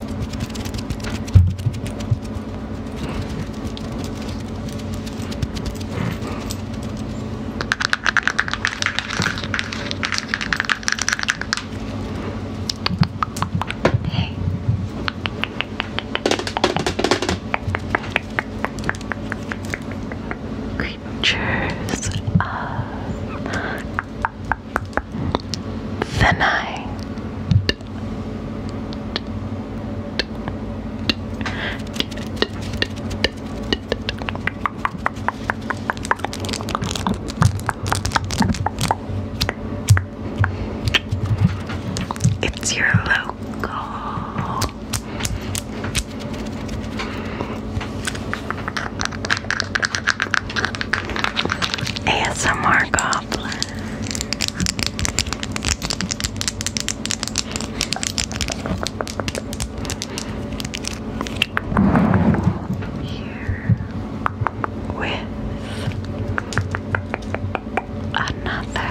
Hey. Creatures of the night. It's your local ASMR God problem. Here with another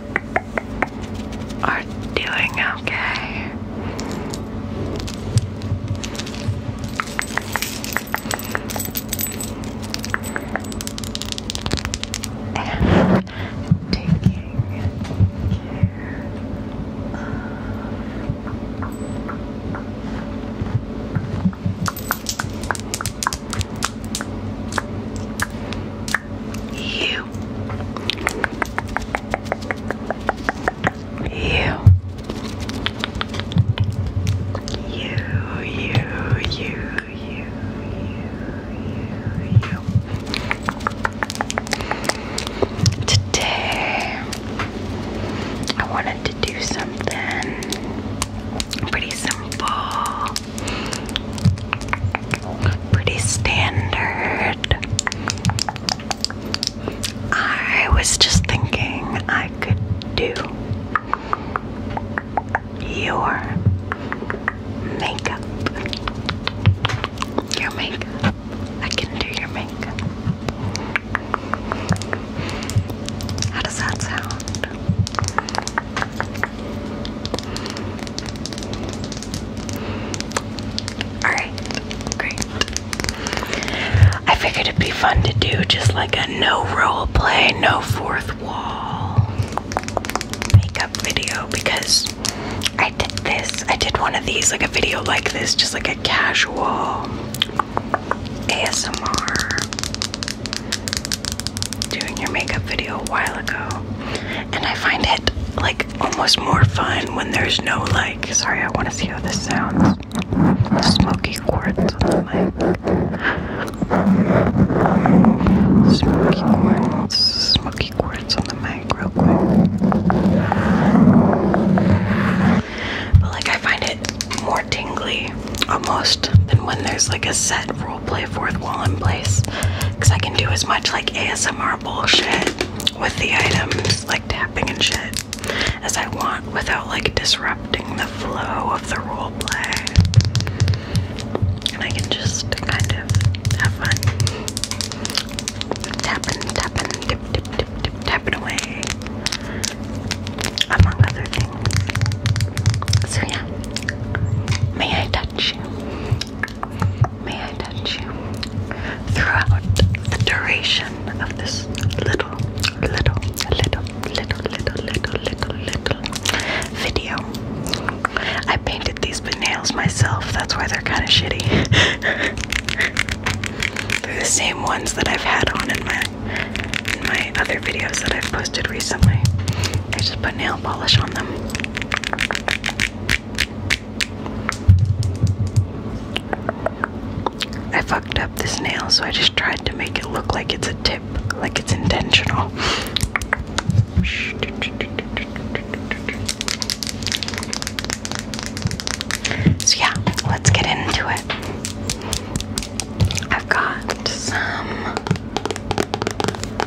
are doing okay. And taking care you. You. You, you, you, you, Today, I wanted to do something pretty simple. Pretty standard. I was just thinking I could do your makeup. Your makeup. I can do your makeup. How does that sound? Alright, great. I figured it'd be fun to do just like a no role play, no fourth wall makeup video because I did this. I did one of these, like a video like this, just like a casual ASMR doing your makeup video a while ago. And I find it like almost more fun when there's no like. Sorry, I want to see how this sounds. Smoky quartz on the mic. Smoky quartz. Smoky quartz on the mic, real quick. But like, I find it more tingly almost than when there's like a set rule play forth wall in place because I can do as much like ASMR bullshit with the items, like tapping and shit, as I want without like disrupting the flow of the roleplay. And I can just kind of have fun tapping, tapping, dip, dip, dip, tapping away, among other things. So, yeah, may I touch May I touch you? Throughout the duration of this little, little, little, little, little, little, little, little video. I painted these nails myself, that's why they're kind of shitty. they're the same ones that I've had on in my in my other videos that I've posted recently. I just put nail polish on them. I fucked up this nail, so I just tried to make it look like it's a tip, like it's intentional. So, yeah, let's get into it. I've got some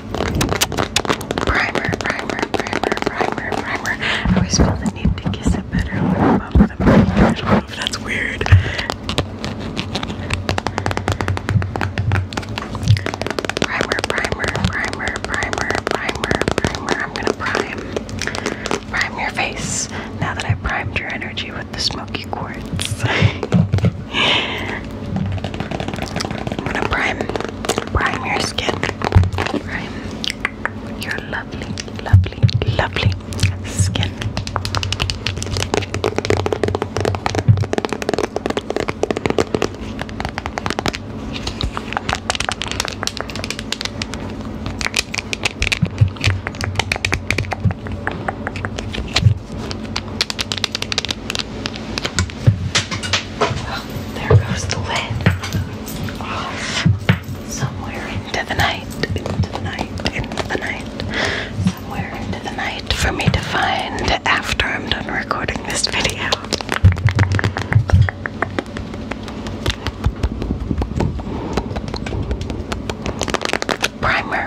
Primer, primer, primer, primer, primer. I always feel the need to kiss it better i don't know if that's weird. Primer, primer, primer, primer, primer, primer. I'm gonna prime. Prime your face. Now that i primed your energy with the smoky Quartz. I'm gonna prime, prime your skin. Prime your lovely, lovely, lovely skin there goes the lid. somewhere into the night, into the night, into the night, somewhere into the night for me to find after I'm done recording this video. Primer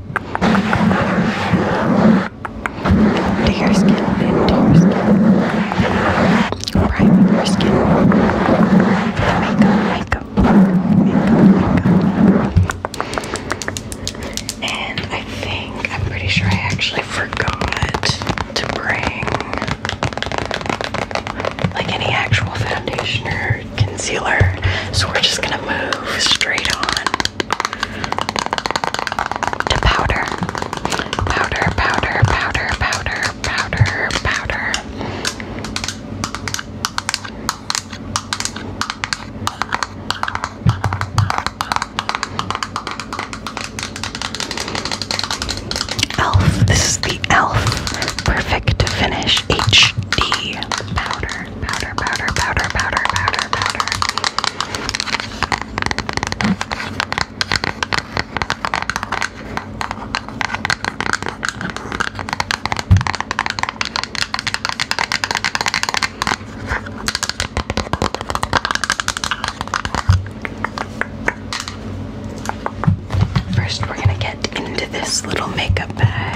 to your skin, into your skin, priming your skin, makeup, makeup, makeup, makeup. And I think, I'm pretty sure I actually forgot to bring like any actual foundation or concealer. So we're just gonna move straight on to powder. Powder, powder, powder, powder, powder, powder. Elf, this is the Elf Perfect Finish HD powder powder, powder, powder, powder, powder, powder. First, we're going to get into this little makeup bag.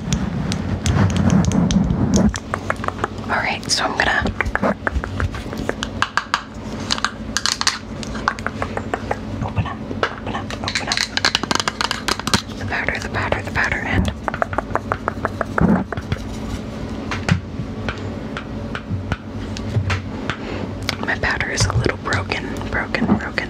All right, so I'm gonna open up, open up, open up the powder, the powder, the powder and My powder is a little broken, broken, broken.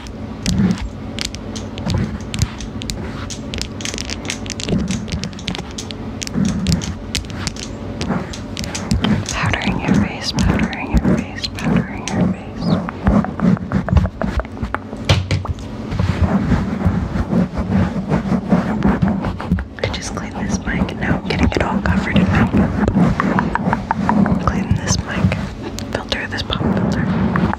Powdering your face, powdering your face, powdering your face. I just cleaned this mic now am getting it all covered in makeup. Clean this mic, filter this pop filter.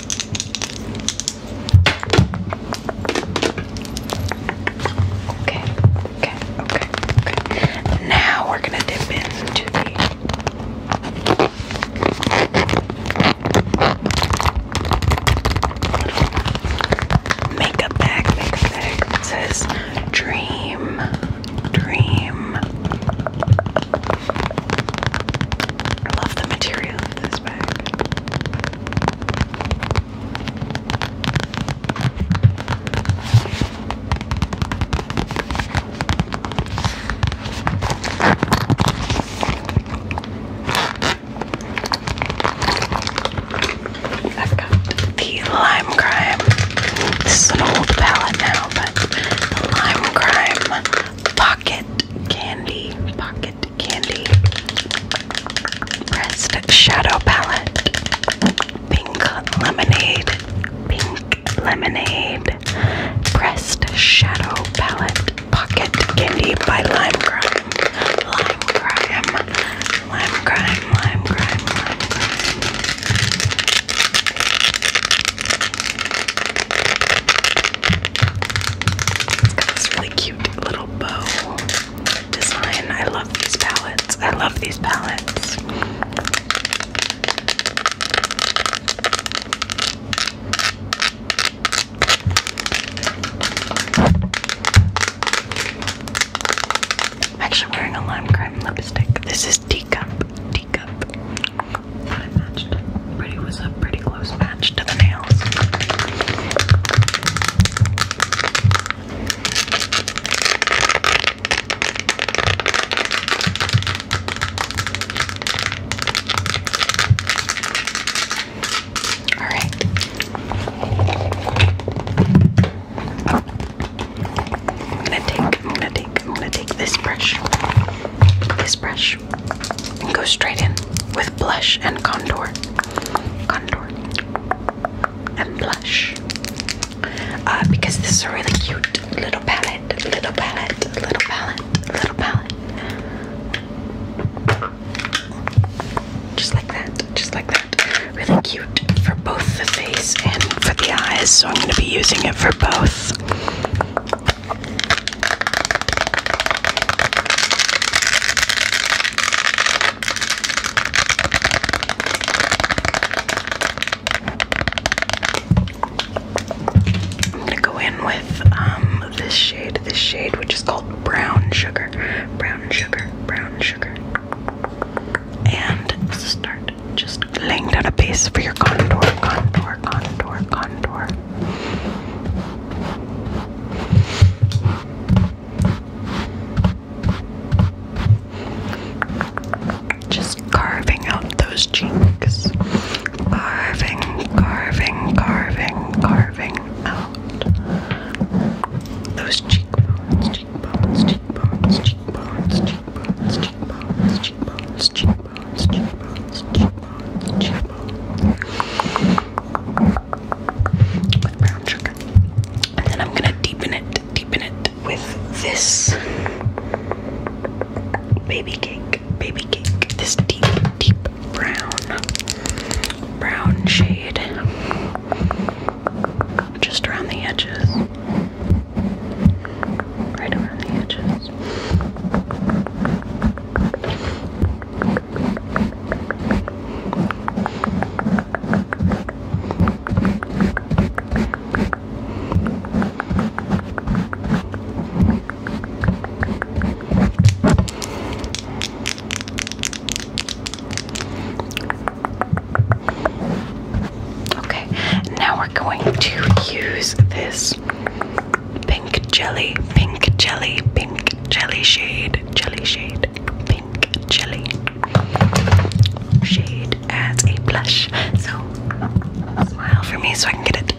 Okay, okay, okay, okay. Now we're gonna dip into makeup bag, makeup bag. It says dream, dream. I love the material of this bag. the lime crime. This is an old palette now, but the lime crime pocket candy, pocket candy, pressed shadow palette, pink lemonade, pink lemonade, pressed shadow palette, pocket candy by Lime Crime, Lime Crime, Lime Crime, Lime Crime, Lime Crime this really cute little bow design. I love these palettes. I love these palettes. actually wearing a lime crime lipstick. This is Tika teacup. Pretty was a pretty close match to the nails. All right. I'm gonna take, I'm gonna take, I'm gonna take this brush, this brush, and go straight in with blush and contour. Contour and blush. Uh, because this is a really cute little palette, little palette, little palette, little palette. Just like that, just like that. Really cute for both the face and for the eyes, so I'm going to be using it for both. I'm gonna go in with um, this shade, this shade which is called brown sugar, brown sugar, brown sugar, and start just laying down a base for your contour, contour, contour, contour. Just carving out those cheeks. Carving, carving, carving, carving out those cheekbones, cheekbones, cheekbones, cheekbones, cheekbones, cheekbones, cheekbones, cheekbones. With brown sugar. And then I'm gonna deepen it, deepen it with this baby cake, baby cake. This deep, deep brown, brown shade. Just around the edges. Right around the edges. Okay, now we're going to use this Pink jelly, pink jelly, pink jelly shade, jelly shade, pink jelly shade as a blush. So smile for me so I can get it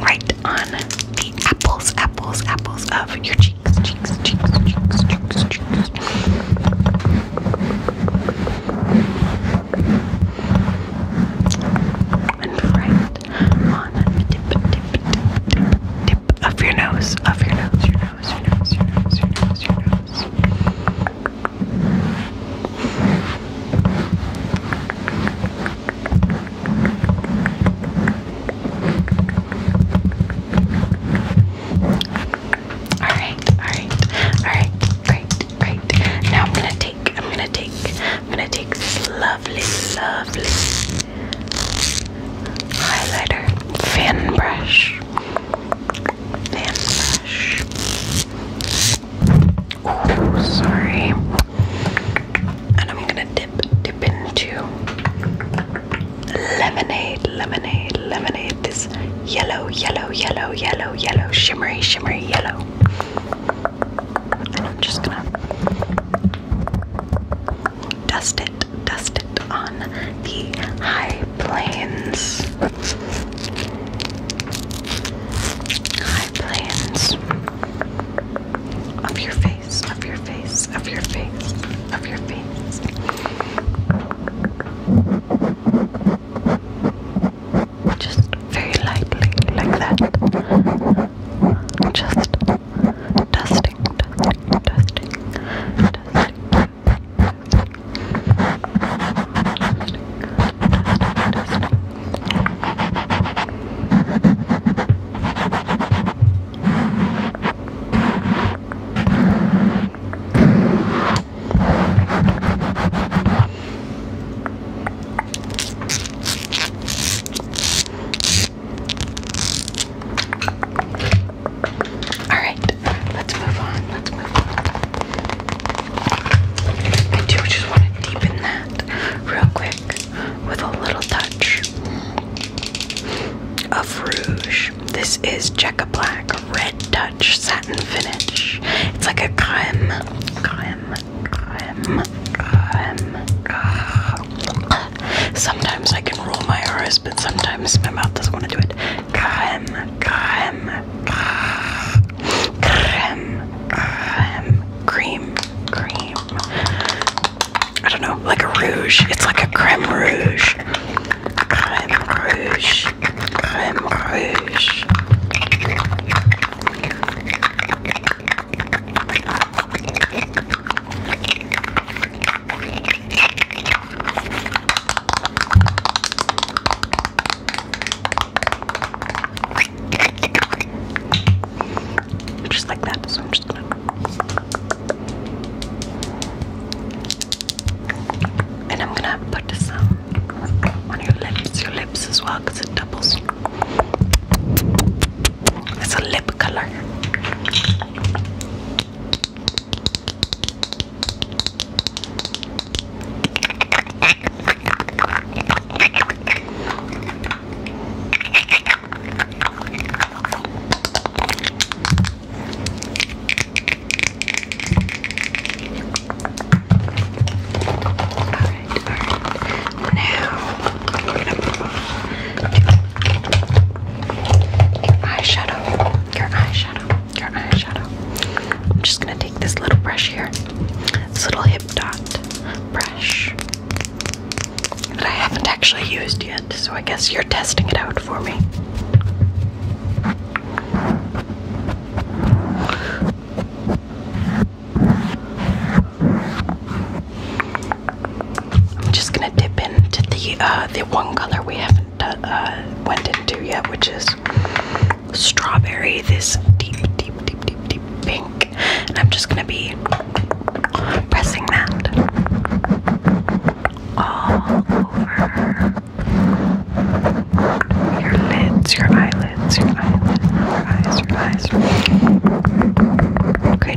right on the apples, apples, apples of your cheeks, cheeks, cheeks, cheeks, cheeks, cheeks and your nose, of your nose, your nose, your nose, your nose, your nose, your nose. All right, all right, all right, great, great. Now I'm gonna take. I'm gonna take, I'm gonna take this lovely, lovely highlighter fan brush. Fan brush. Oh, sorry. And I'm gonna dip, dip into lemonade, lemonade, lemonade. This yellow, yellow, yellow, yellow, yellow, shimmery, shimmery, yellow. I'm just gonna dust it, dust it on the high plains. High plains of your face, of your face, of your face, of your face. Just very lightly, like that. Just dusting, dusting, dusting, dusting. Dusting, dusting, dusting. All right, let's move on. Let's move I do just want to deepen that real quick with a little touch of rouge. This is Checka Black Red Touch Satin Finish. It's like a creme, creme, Sometimes I can roll my R's, but sometimes my mouth doesn't want to do it. Creme, creme, cream, cream. I don't know, like a rouge. It's like a creme rouge. Creme rouge, creme rouge. Just like that, so I'm just gonna. And I'm gonna put some um, on your lips, your lips as well, because it doubles. It's a lip color. Now, your eyeshadow. Your eyeshadow. Your eyeshadow. I'm just gonna take this little brush here. This little hip dot brush that I haven't actually used yet, so I guess you're testing it out for me. I'm just gonna dip into the uh, the one color we haven't uh, uh, went into yet, which is strawberry. This deep, deep, deep, deep, deep pink, and I'm just gonna be pressing that all over your lids, your eyelids, your eyelids, your eyes, your eyes. Okay,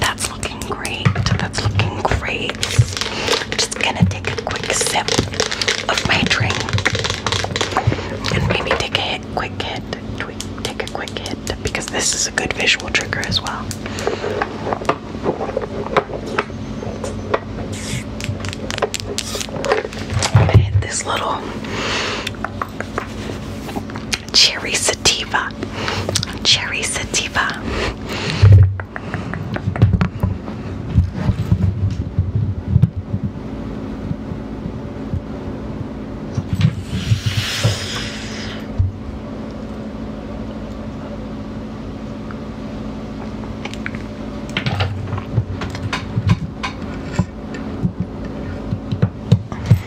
That's looking great. That's looking great. Just gonna take a quick sip of my drink and maybe take a quick hit, take a quick hit because this is a good visual trigger as well. hit this little Cherry Sativa. Cherry Sativa.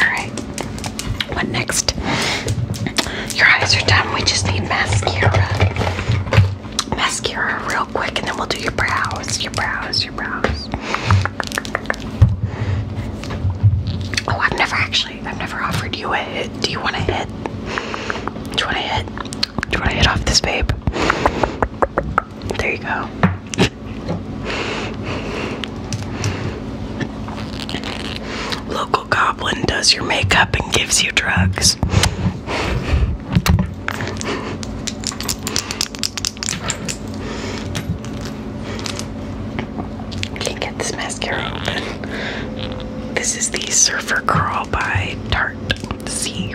Alright, what next? Your eyes are done. We just need mascara. Mascara real quick, and then we'll do your brows. Your brows, your brows. Oh, I've never actually, I've never offered you a hit. Do you want a hit? Do you want a hit? Do you want to hit off this, babe? There you go. Local goblin does your makeup and gives you drugs. Can't get this mascara open. This is the Surfer Curl by Tarte C.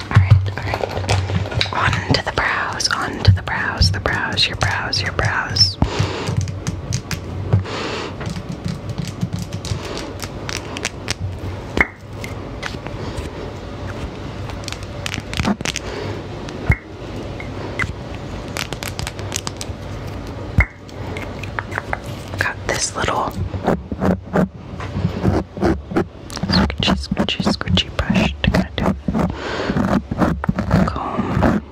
Alright, alright. On the brows, on the brows, the brows, your brows, your brows. Got this little scratchy, scratchy, scratchy brush to kind of comb,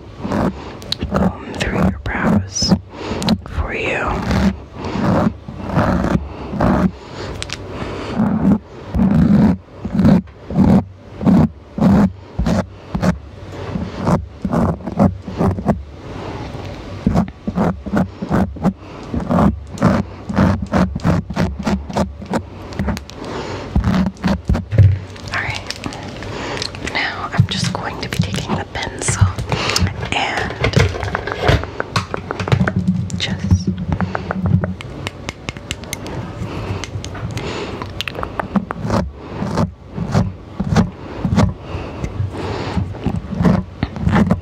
comb through your brows for you. Alright, now I'm just going to be taking the pencil and just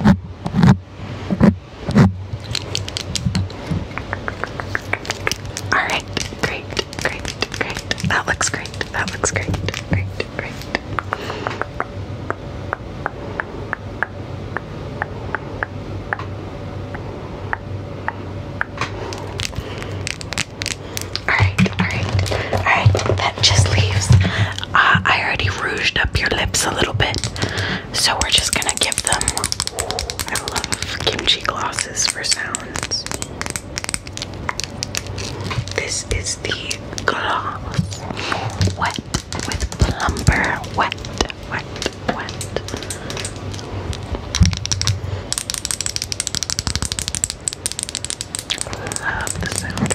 All right, great, great, great. That looks great. That looks great. Great, great. All right, all right, all right. That just leaves. Uh, I already rouged up your lips a little bit. So we're just gonna give them. Ooh, kimchi glosses for sounds. This is the gloss wet with plumber wet, wet, wet. Love the sound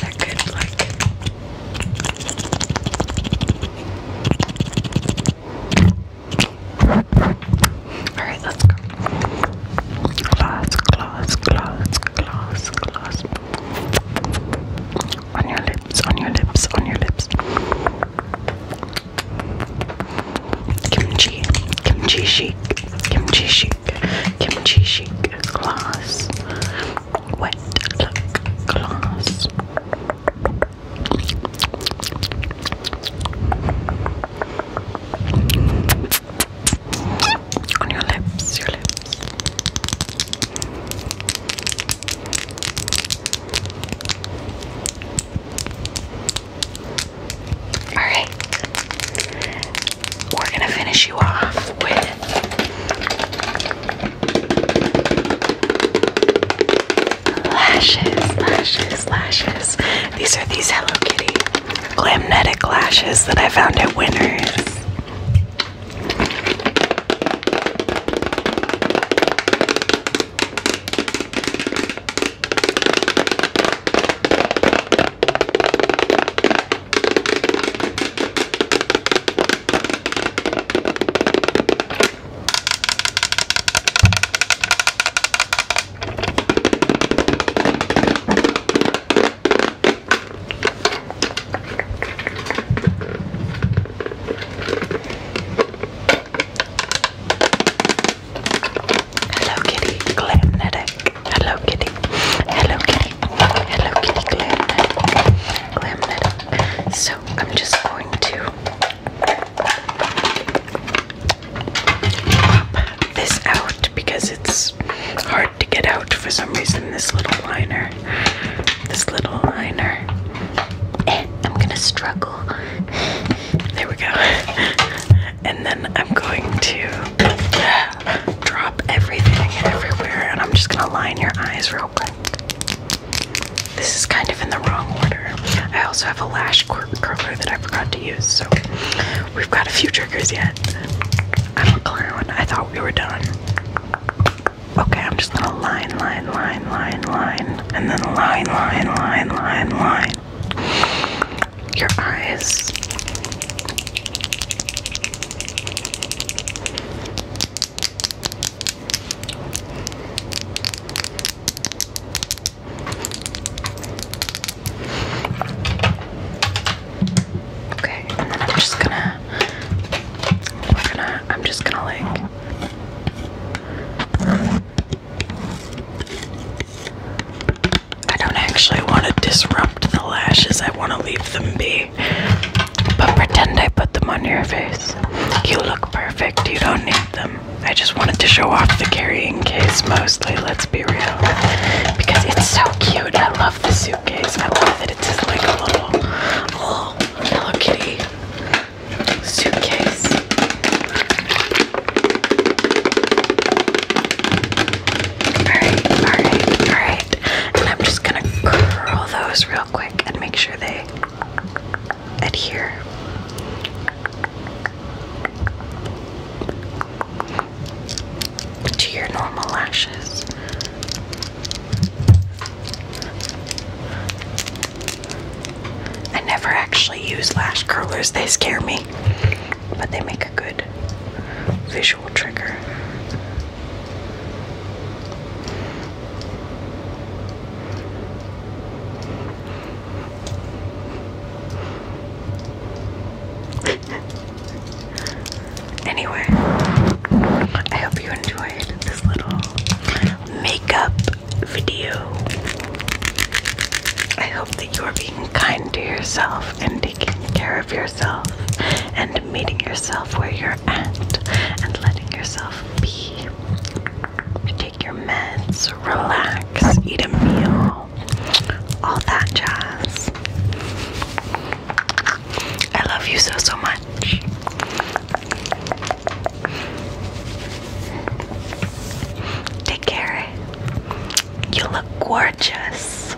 that good like Alright, let's go. Gloss, gloss, gloss, gloss, gloss. On your lips, on your lips, on your lips. Kimchi, kimchi, she chic, kimchi chic, kimchi chic gloss, wet look gloss. On your lips, your lips. All right. We're going to finish you off with lashes, lashes, lashes. These are these Hello Kitty Glamnetic lashes that I found at Winners. Hello Kitty, Glamnetic. Hello Kitty. Hello Kitty. Hello Kitty Glamnet. Glamnet. So I'm just going to pop this out because it's hard to get out for some reason. This little liner. This little liner. And I'm gonna struggle. There we go. And then I'm going to drop everything everywhere, and I'm just gonna line your eyes real quick. This is kind of in the wrong order. I also have a lash curler that I forgot to use, so we've got a few triggers yet. I'm a clown. I thought we were done. Okay, I'm just gonna line, line, line, line, line, and then line, line, line, line, line. Your eyes. Okay, and then I'm just gonna, we're gonna, I'm just gonna like. I don't actually want to disrupt the lashes, I want to leave them be. But pretend I put them on your face. You look perfect, you don't need them. I just wanted to show off the carrying case mostly, let's be real. Because it's so cute, I love the suitcase. I love that it's like a little, little Hello Kitty suitcase. Alright, alright, alright and I'm just gonna curl those real quick and make sure they adhere. To your normal lashes. I never actually use lash curlers, they scare me, but they make a good visual trigger. anyway, I hope you enjoyed this little makeup video. I hope that you are being kind to yourself and taking care of yourself and meeting yourself where you're at and letting yourself be. Take your meds, relax, eat a meal, all that jazz. I love you so, so much. Take care. You look gorgeous.